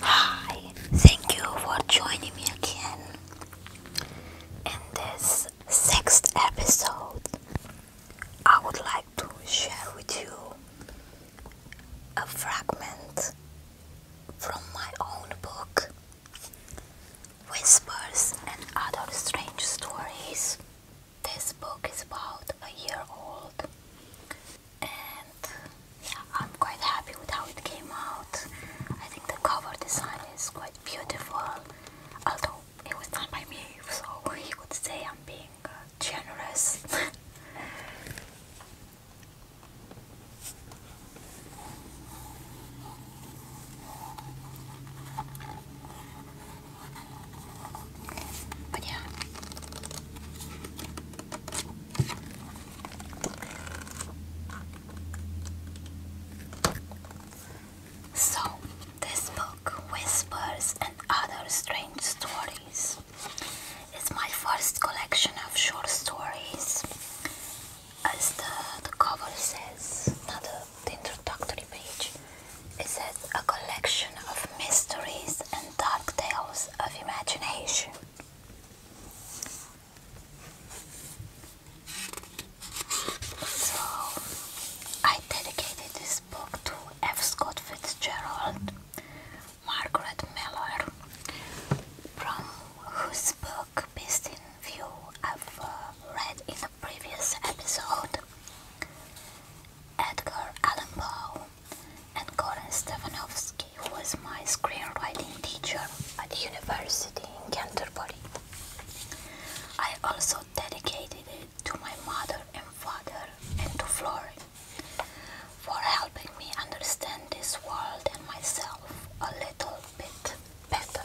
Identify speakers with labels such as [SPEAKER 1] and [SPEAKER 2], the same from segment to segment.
[SPEAKER 1] Hi, thank you for joining me again in this sixth episode. I would like to share with you a fragment from my own book, Whispers and Other Strange Stories this book is about a year old and yeah, I'm quite happy with how it came out. I think the cover design is quite beautiful, although it was done by me, so he would say I'm being uh, generous. But yeah. So, this book, Whispers and Other Strange Stories, is my first collection of short stories, as the, the cover says, not the introductory page. is says a collection of mysteries and dark tales of imagination. So I dedicated this book to F. Scott Fitzgerald, Margaret Miller, from whose book Best in View I've uh, read in previous episode, Edgar Allan Poe and Goran Stefanovski, who was my screenwriting teacher at university in Canterbury. I also dedicated it to my mother and father and to Florrie for helping me understand this world and myself a little bit better.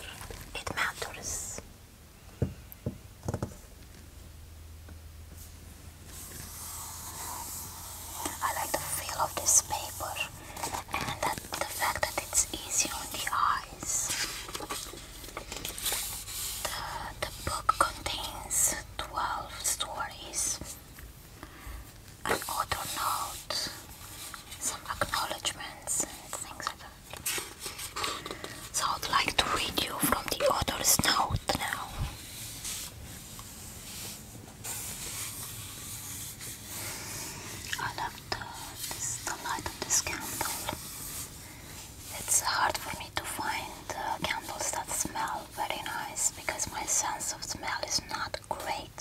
[SPEAKER 1] It matters. I like the feel of this paper and the fact that it's easy on the eyes. The, book contains 12 stories, an author some acknowledgements and so I'd like to read you from the author's note now. I love the, this, the of the candle. It's hard for me to find uh, candles that smell very nice because my sense of smell is not great.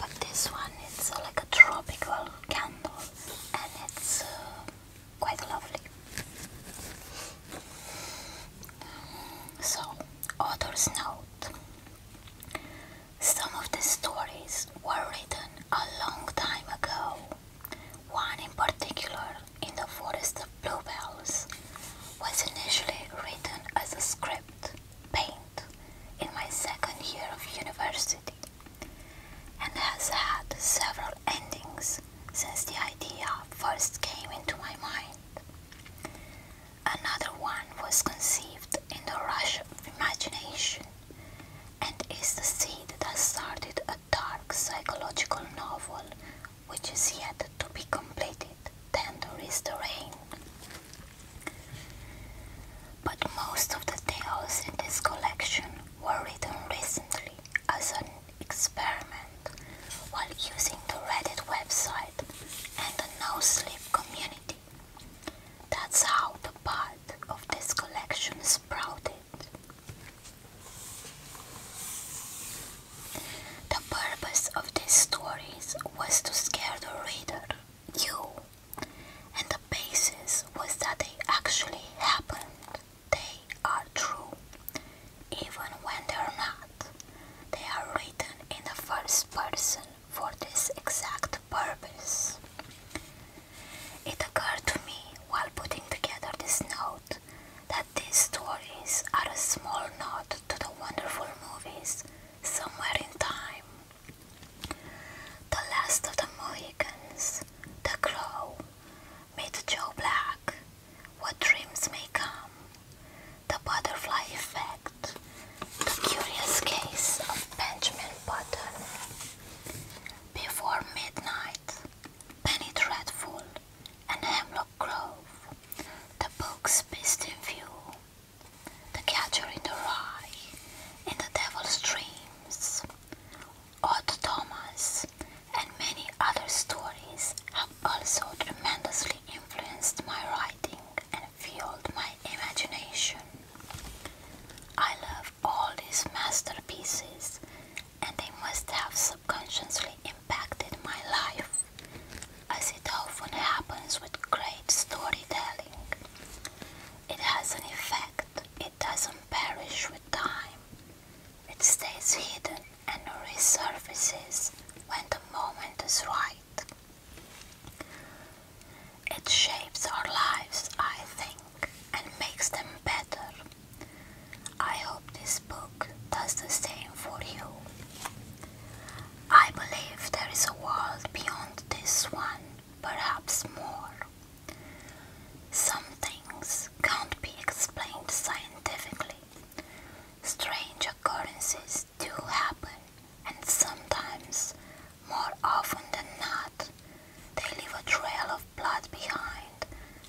[SPEAKER 1] But this one, it's like a tropical candle and it's uh, quite lovely. So, author's note. Some of the stories were written a long time ago. One in particular, In the Forest of Bluebells, was initially written as a script, paint, in my second year of university and has had several endings since the idea first came into my mind. Another one was conceived in the rush of imagination and is the seed that started a dark psychological novel which is yet to be completed. Tender is the rain but most of the tales in this collection were written recently as an experiment while using the Reddit website and the No Sleep community. That's how the part of this collection sprouted. The purpose of these stories was to scare the reader, you, and the basis was that they actually happened. They are true. Even when they're not, they are written in the first person for this exact purpose. It occurred to me while putting together this note that these stories are a small nod to the wonderful movies somewhere in time. The Last of the Mohicans, The Crow, Meet Joe Black, What Dreams May Come, The Butterfly Effect, The Curious Case of Benjamin Button, Before Midnight, Penny Dreadful, and Hemlock Grove, The Books Best in View, The Catcher in the Rye, and the Devil's Dreams, Otto and many other stories have also tremendously influenced my writing and fueled my imagination. I love all these masterpieces and they must have subconsciously impacted my life, as it often happens with great storytelling. It has an effect. It doesn't perish with time. It stays hidden and resurfaces when the moment is right. It shapes our lives, I think, and makes them better. I hope this book does the same for you. I believe there is a world beyond this one, perhaps more. Some things can't be explained scientifically. Strange occurrences do happen, and sometimes, more often than not, they leave a trail of blood behind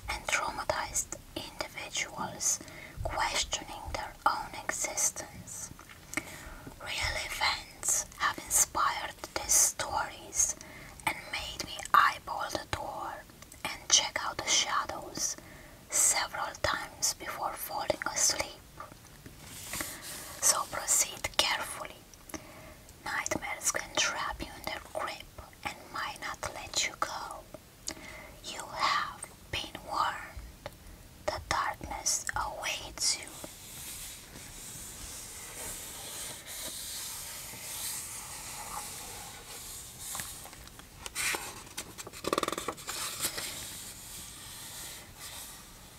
[SPEAKER 1] and traumatized individuals questioning their own existence. Real events have inspired heard these stories and made me eyeball the door and check out the shadows several times before falling asleep. So proceed carefully. Nightmares can trap you in their grip and might not let you go. You have been warned. The darkness awaits you.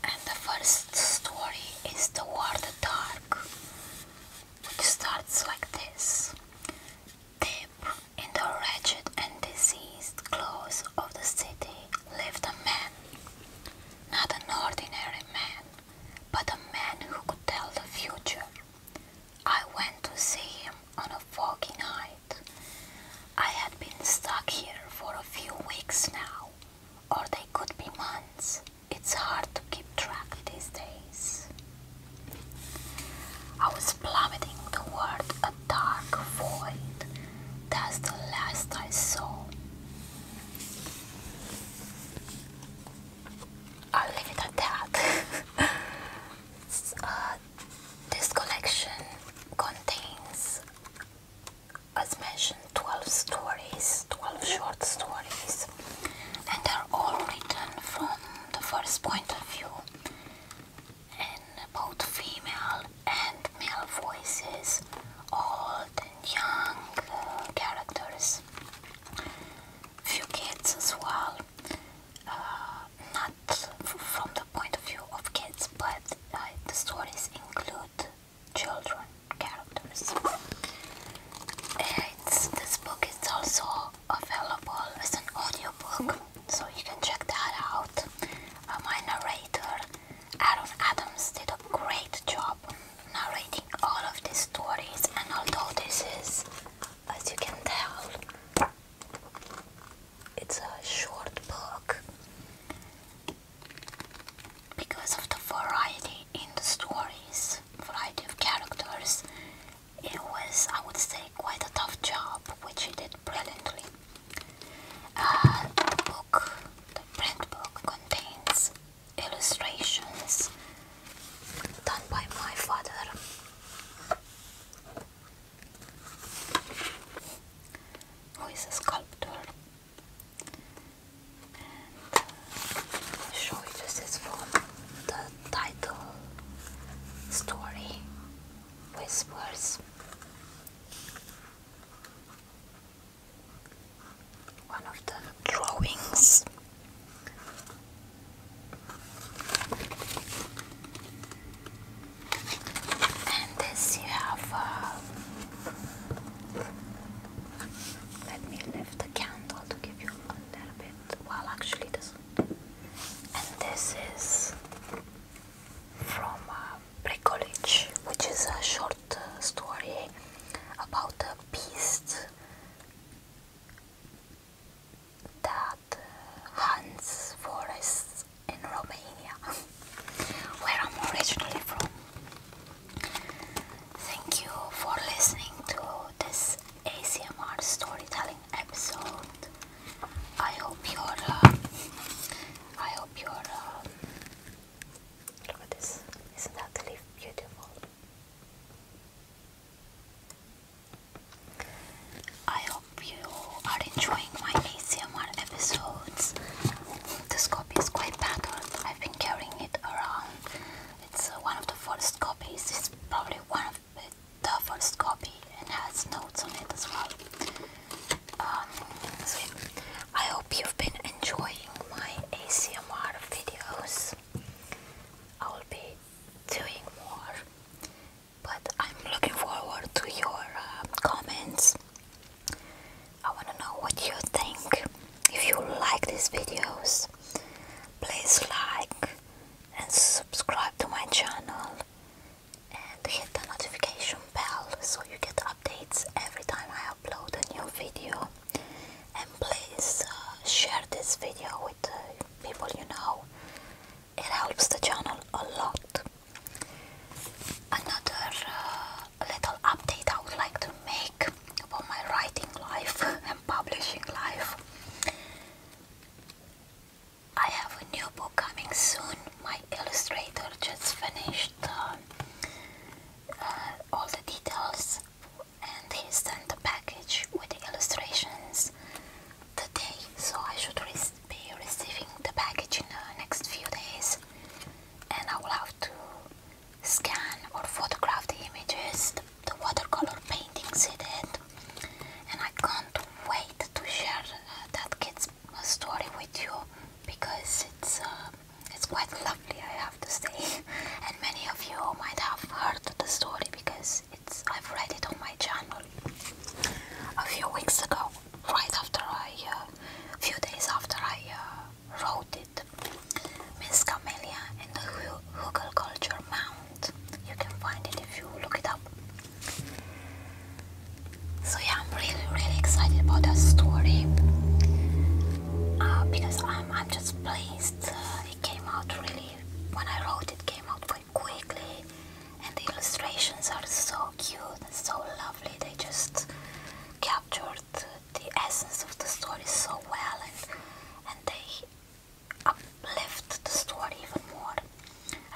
[SPEAKER 1] And the first story is The War the Dark, which starts like this. Deep in the wretched and diseased clothes of the city lived a man not an ordinary man, but a man who could tell the future. I went to see him on a foggy night. I had been stuck here for a few weeks now, or they could be months. It's hard to keep track these days. I was plummeting toward a dark void. That's the last I saw. I'll leave it at that. Uh, this collection contains, as mentioned, 12 stories, 12 short stories, and are all written from the first point of view, and both female and male voices all old young uh, characters, few kids as well. Uh, not from the point of view of kids, but uh, the stories include children characters. this book is also available as an audiobook, so you can check that out. my narrator Adam Adams did a great job narrating all of these stories, and although this is, as you can tell, it's a short book because of the variety in the stories, variety of characters. It was, I would say, quite a tough job, which he did brilliantly. Uh, the book the print book contains illustrations done by my father. Who is a sculptor? And uh, show you this is the title story Whispers one of the drawings. And this you have. Uh, let me lift the candle to give you a bit. Well, actually, this. And this is from Pre uh, College, which is a short story about a beast that hunts forests in Romania, where I'm originally from. Thank you for listening to this ACMR storytelling episode. I hope you're. Uh, I hope you're. Um, Look at this. Isn't that the leaf beautiful? I hope you are enjoying my ASMR episodes. This copy is quite battered. I've been carrying it around. It's uh, one of the first copies. It's probably one of the first copy and has notes on it as well. Um, so I hope you've been enjoying my ACMR videos. I will be doing more, but I'm looking forward to your uh, comments. I want to know what you think. If you like these videos, please like and subscribe to my channel and hit the notification bell so you get updates every time I upload upload a new video and please uh, share this video with uh, people you know it helps the channel a lot another uh, little update I would like to make about my writing life and publishing life I have a new book coming soon my illustrator just finished uh, uh, all the details and he sent the package with the illustrations today so I should re be receiving the package in the next few days and I will have to scan or photograph the images the, watercolor paintings he did and I can't wait to share uh, that kid's story with you because it's uh, it's quite lovely, I have to say. And many of you might have heard the story because it's I've read it on my channel a few weeks ago, right after I, a uh, few days after I uh, wrote it. Miss Camelia in the Hugel Culture Mound. You can find it if you look it up. So yeah, I'm really really excited about that story uh, because I'm I'm just pleased uh, it came out really when I wrote it came out very quickly and the illustrations are so cute and so lovely they just captured the essence of the story so well and and they uplift the story even more.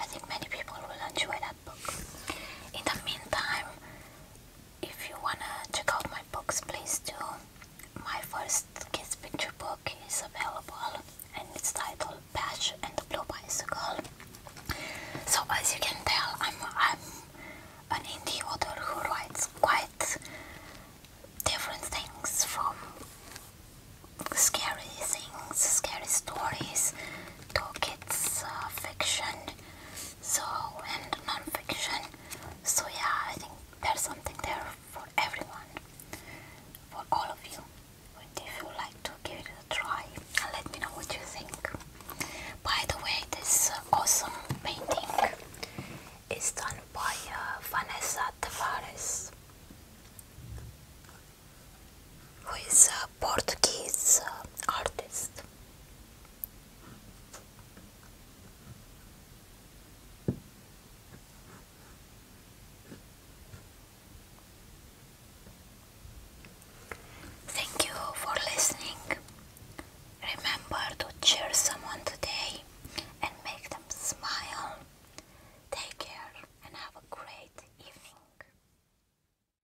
[SPEAKER 1] I think many people will enjoy that book. In the meantime, if you wanna check out my books please do. My first kids picture book is available and it's titled Patch and the Blue Bicycle. So as you can tell I'm, I'm an indie author who writes quite different things from scary things, scary stories to kids uh, fiction so and non so yeah i think there's something there for everyone for all of you but if you like to give it a try let me know what you think by the way this awesome painting is done by uh, vanessa tavares who is a Portuguese uh, artist. Thank you for listening. Remember to cheer someone today and make them smile. Take care and have a great evening.